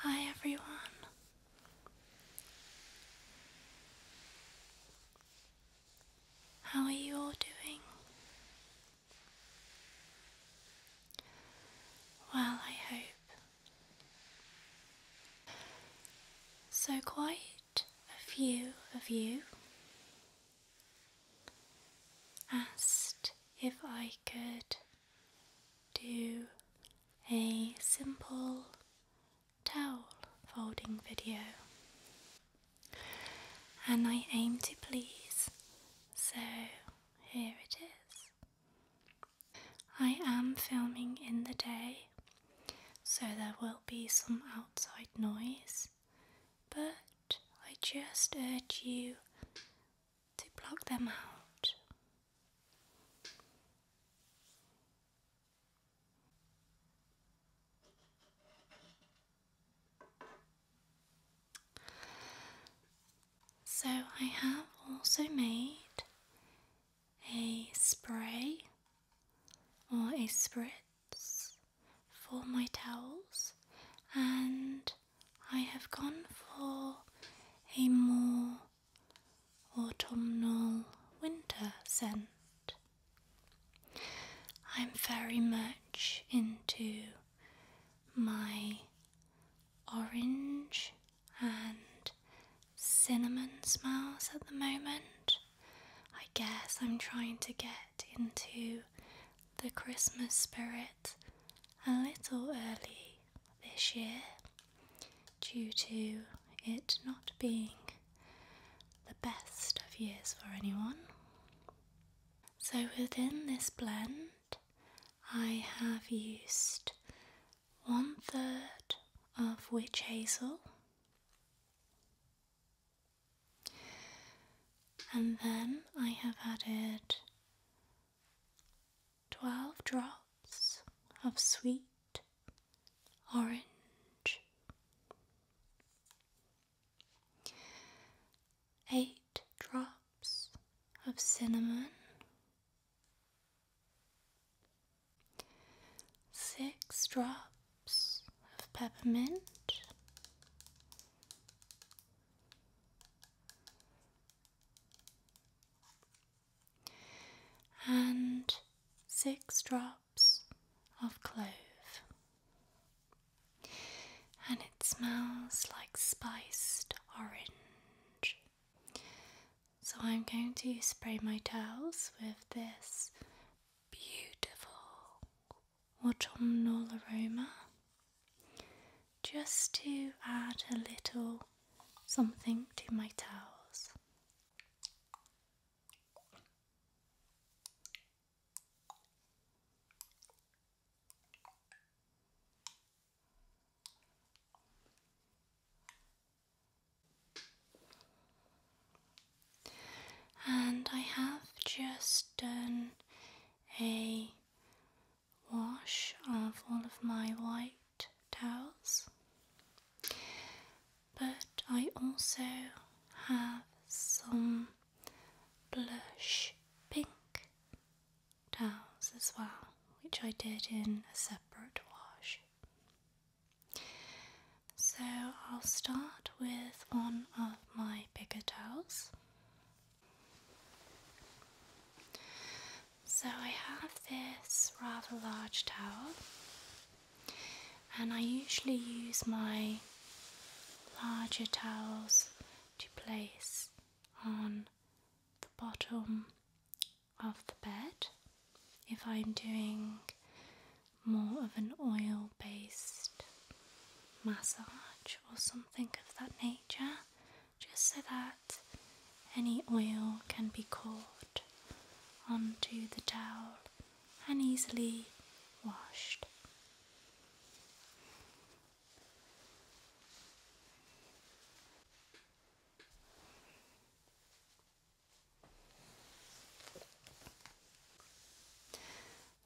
Hi, everyone. How are you all doing? Well, I hope. So, quite a few of you asked if I could do a simple towel folding video and I aim to please so here it is I am filming in the day so there will be some outside noise but I just urge you to block them out. So, I have also made a spray or a spritz for my towels, and I have gone for a more autumnal winter scent. I'm very much into my orange and cinnamon smells at the moment. I guess I'm trying to get into the Christmas spirit a little early this year due to it not being the best of years for anyone. So, within this blend, I have used one third of witch hazel and then I have added Twelve drops of sweet orange. Eight drops of cinnamon. Six drops of peppermint and six drops of clove. And it smells like spiced orange. So I'm going to spray my towels with this beautiful autumnal aroma just to add a little something to my towels. And I have just done a wash off all of my white towels, but I also have some blush pink towels as well, which I did in a separate wash. So I'll start with one of my bigger towels so I have this rather large towel, and I usually use my larger towels to place on the bottom of the bed if I'm doing more of an oil based massage or something of that nature just so that any oil can be caught onto the towel and easily washed.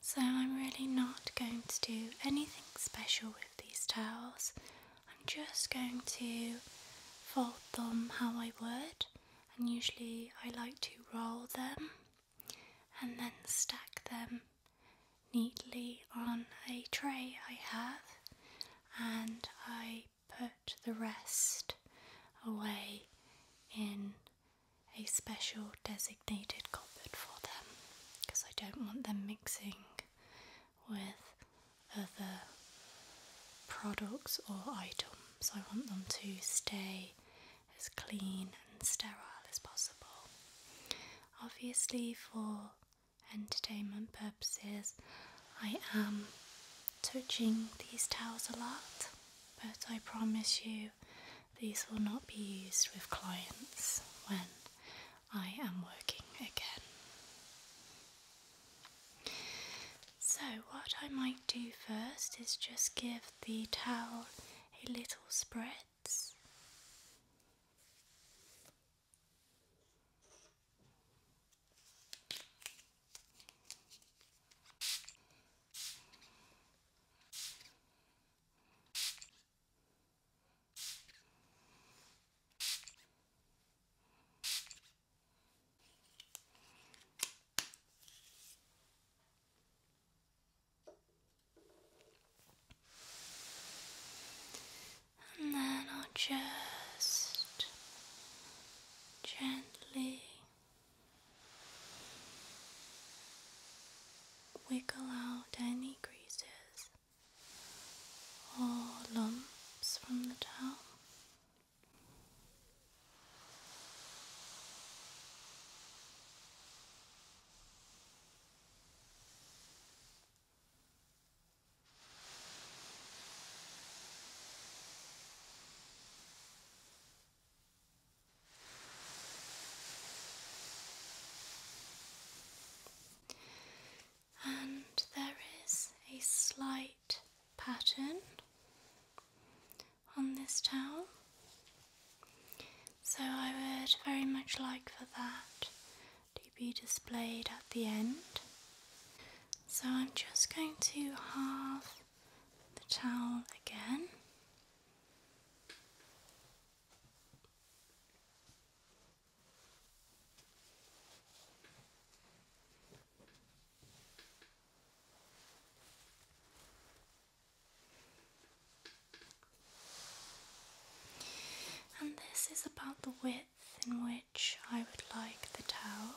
So, I'm really not going to do anything special with these towels. I'm just going to fold them how I would, and usually I like to roll them and then stack them neatly on a tray I have, and I put the rest away in a special designated cupboard for them because I don't want them mixing with other products or items. I want them to stay as clean and sterile as possible. Obviously, for entertainment purposes, I am touching these towels a lot, but I promise you these will not be used with clients when I am working again. So, what I might do first is just give the towel a little spritz. And then I'll just gently wiggle out any creases or lumps from the towel and there is a slight pattern on this towel, so I would very much like for that to be displayed at the end. So I'm just going to have the towel again. And this is about the width in which I would like the towel.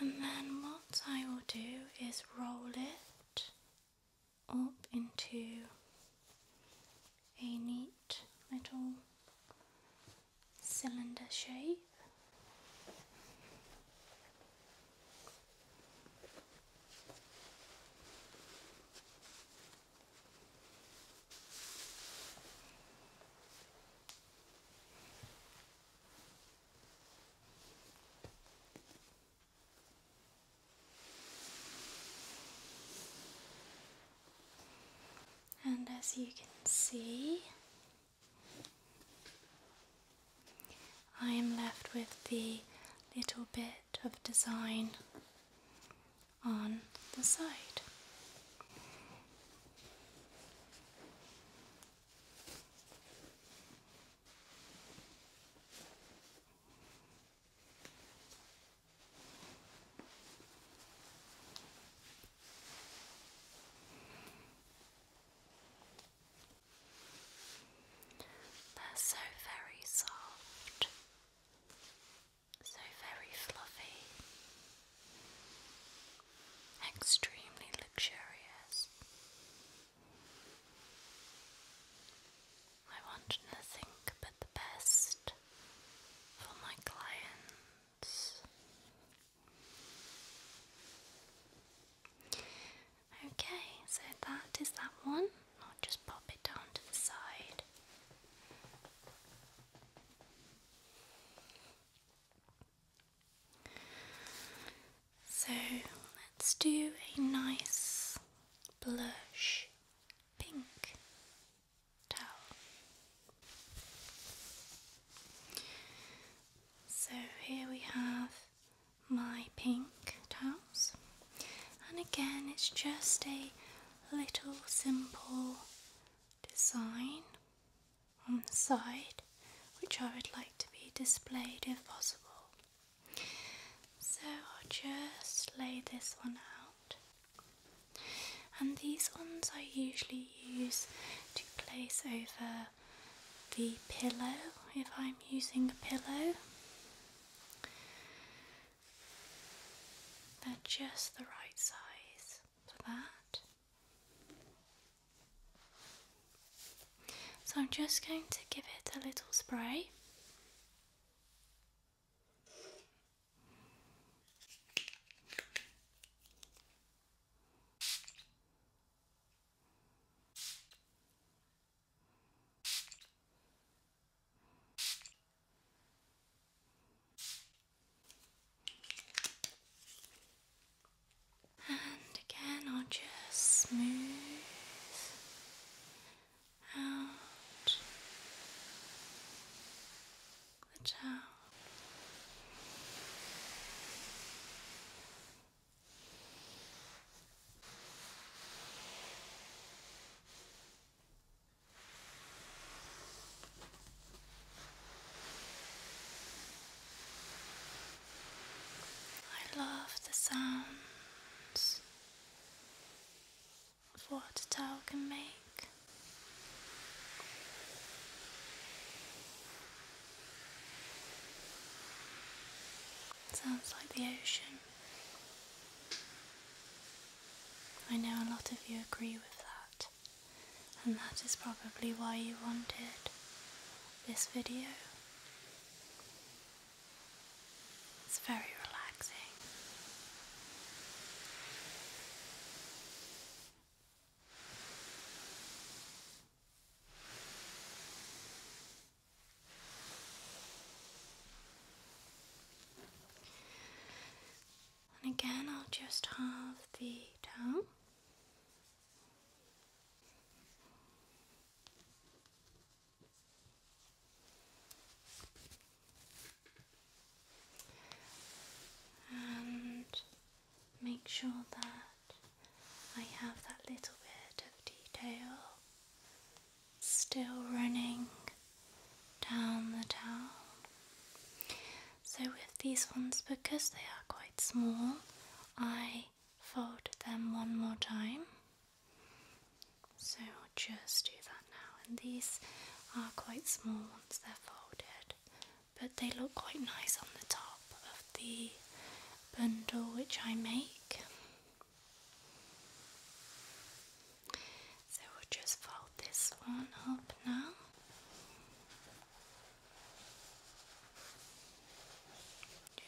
And then what I will do is roll it up into a neat little cylinder shape. And as you can see, I am left with the little bit of design on the side. They're so very soft. So very fluffy, extremely luxurious. I want nothing but the best for my clients. Okay, so that is that one. I'll just pop it down to the side. So let's do a nice blush pink towel. So here we have my pink towels, and again, it's just a little simple design on the side, which I would like to be displayed if possible. So I'll just lay this one out, and these ones I usually use to place over the pillow if I'm using a pillow. They're just the right size for that. So I'm just going to give it a little spray. And again, I'll just smooth out the towel. I love the sounds of what a towel can make. sounds like the ocean. I know a lot of you agree with that, and that is probably why you wanted this video. It's very relaxing. And again, I'll just have the towel. And make sure that I have that little bit of detail still running down the town. So, with these ones, because they are quite small, I fold them one more time. So, I'll just do that now. And these are quite small once they're folded, but they look quite nice on the top of the bundle which I make. So we'll just fold this one up now.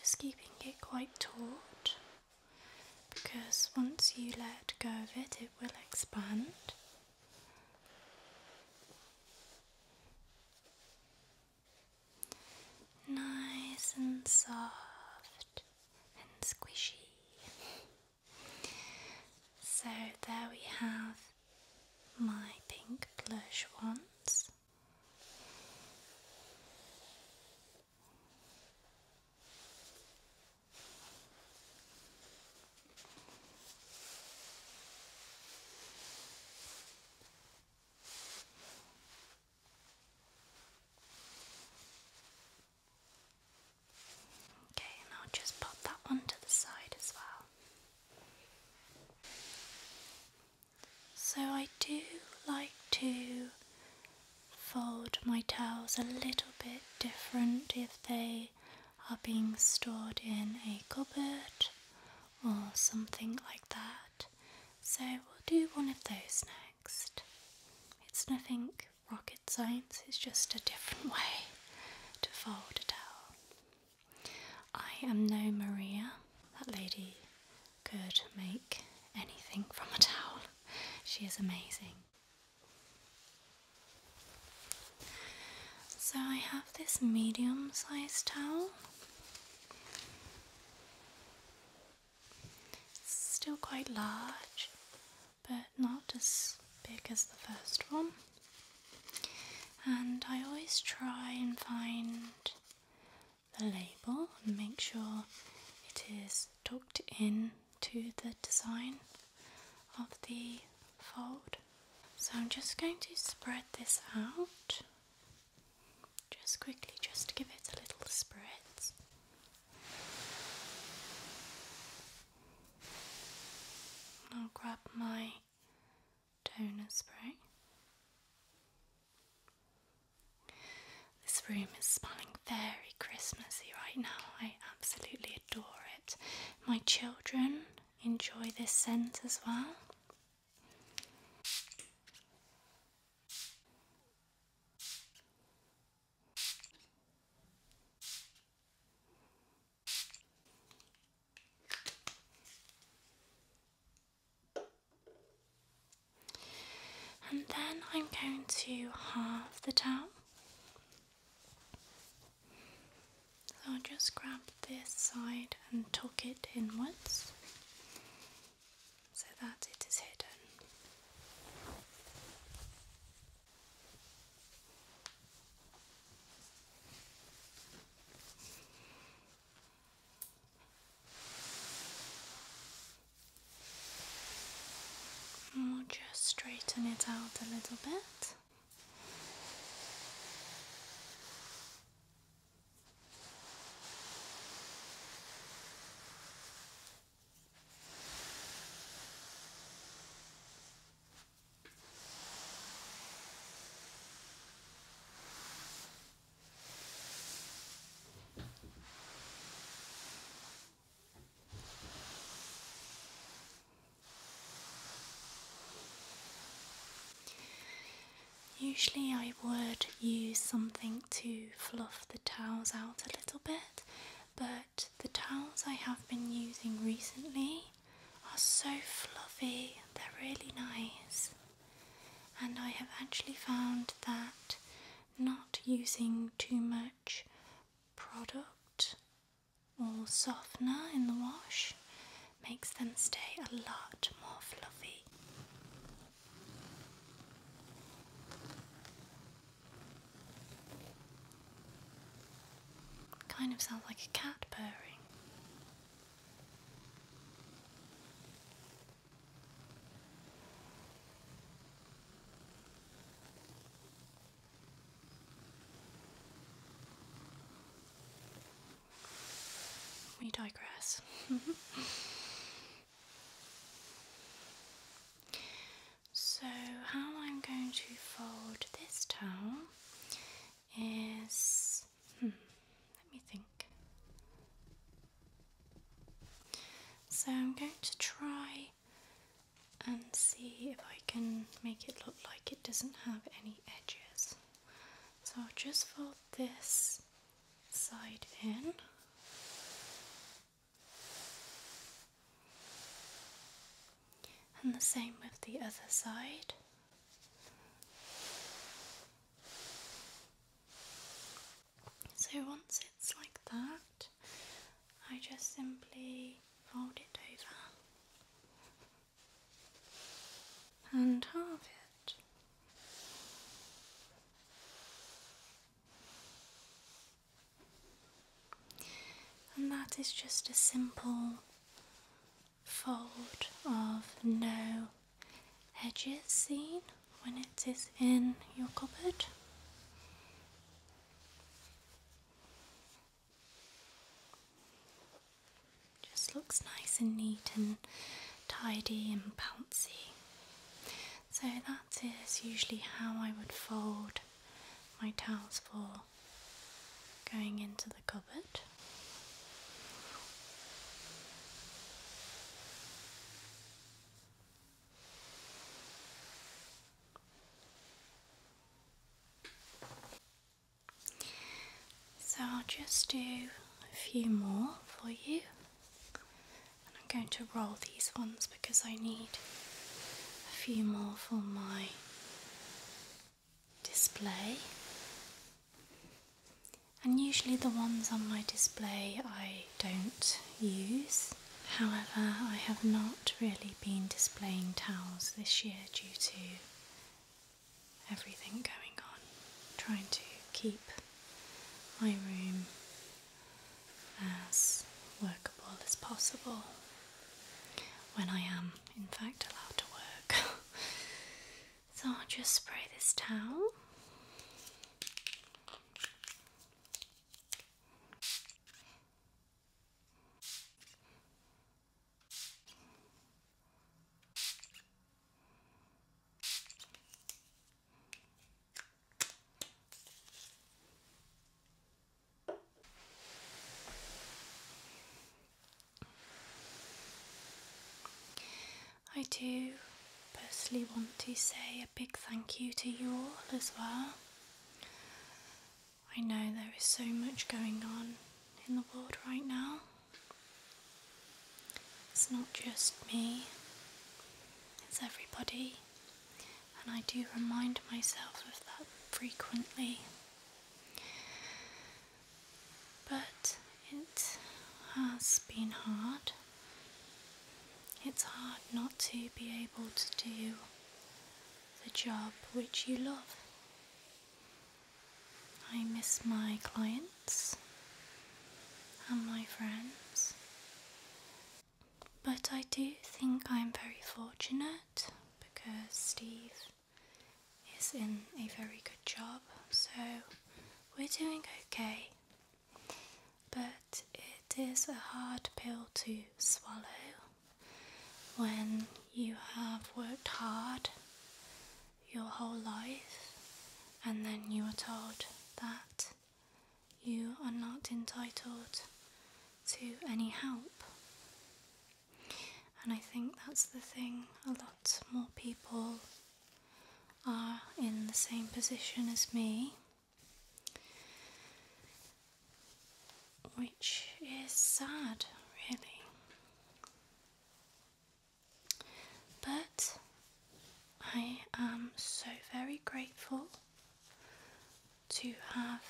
Just keeping it quite taut because once you let go of it, it will expand. Nice and soft and squishy. So there we have my pink blush ones. Okay, and I'll just pop that one to the side as well. So I do like to fold my towels a little bit different if they are being stored in a cupboard or something like that. So we'll do one of those next. It's nothing rocket science, is just a different way to fold a towel. I am no Maria. That lady could make anything from a towel. She is amazing. So I have this medium sized towel. It's still quite large, but not as big as the first one. And I always try and find the label and make sure it is tucked in to the design of the fold. So I'm just going to spread this out just quickly just to give it a little spritz I'll grab my toner spray. This room is smelling very Christmassy right now. I absolutely adore it. My children enjoy this scent as well. And then I'm going to halve the towel. So I'll just grab this side and tuck it inwards so that it is hidden we'll just straighten it out a little bit. Usually, I would use something to fluff the towels out a little bit, but the towels I have been using recently are so fluffy, they're really nice. And I have actually found that not using too much product or softener in the wash makes them stay a lot more fluffy. Kind of sounds like a cat purring. We digress. So, how I'm going to fold this towel is hmm, let me think. So, I'm going to try and see if I can make it look like it doesn't have any edges. So, I'll just fold this side in and the same with the other side. So once it's like that, I just simply fold it over and half it. And that is just a simple fold of no edges seen when it is in your cupboard. Just looks nice and neat and tidy and bouncy. So that is usually how I would fold my towels for going into the cupboard. So I'll just do a few more for you I'm going to roll these ones because I need a few more for my display. And usually the ones on my display I don't use. However, I have not really been displaying towels this year due to everything going on, trying to keep my room as workable as possible when I am, in fact, allowed to work. so I'll just spray this down. I do personally want to say a big thank you to you all as well. I know there is so much going on in the world right now. It's not just me, it's everybody and I do remind myself of that frequently. But it has been hard. It's hard not to be able to do the job which you love. I miss my clients and my friends but I do think I'm very fortunate because Steve is in a very good job, so we're doing okay. But it is a hard pill to swallow when you have worked hard your whole life and then you are told that you are not entitled to any help. And I think that's the thing, a lot more people are in the same position as me, which is sad, really. But I am so very grateful to have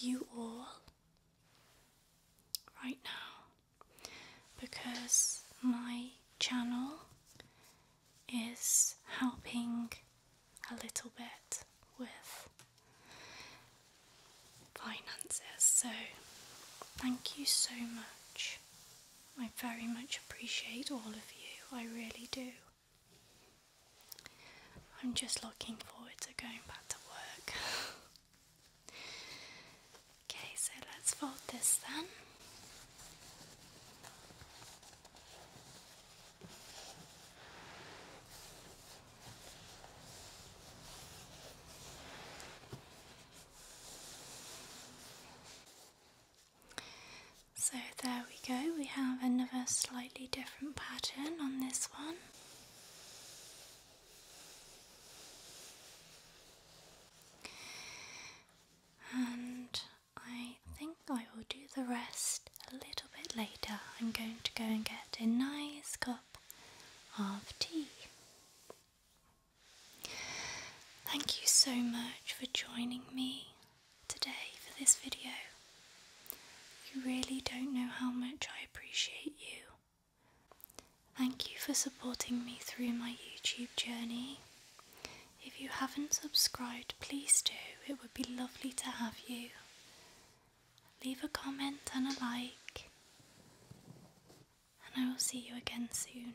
you all right now because my channel is helping a little bit with finances. So, thank you so much. I very much appreciate all of you, I really do. I'm just looking forward to going back to work. okay, so let's fold this then. So there we go, we have another slightly different pattern on this one. And I think I will do the rest a little bit later. I'm going to go and get a nice cup of tea. Thank you so much for joining me today for this video. You really don't know how much I appreciate you. Thank you for supporting me through my YouTube journey. If you haven't subscribed, please do. It would be lovely to have you. Leave a comment and a like. And I will see you again soon.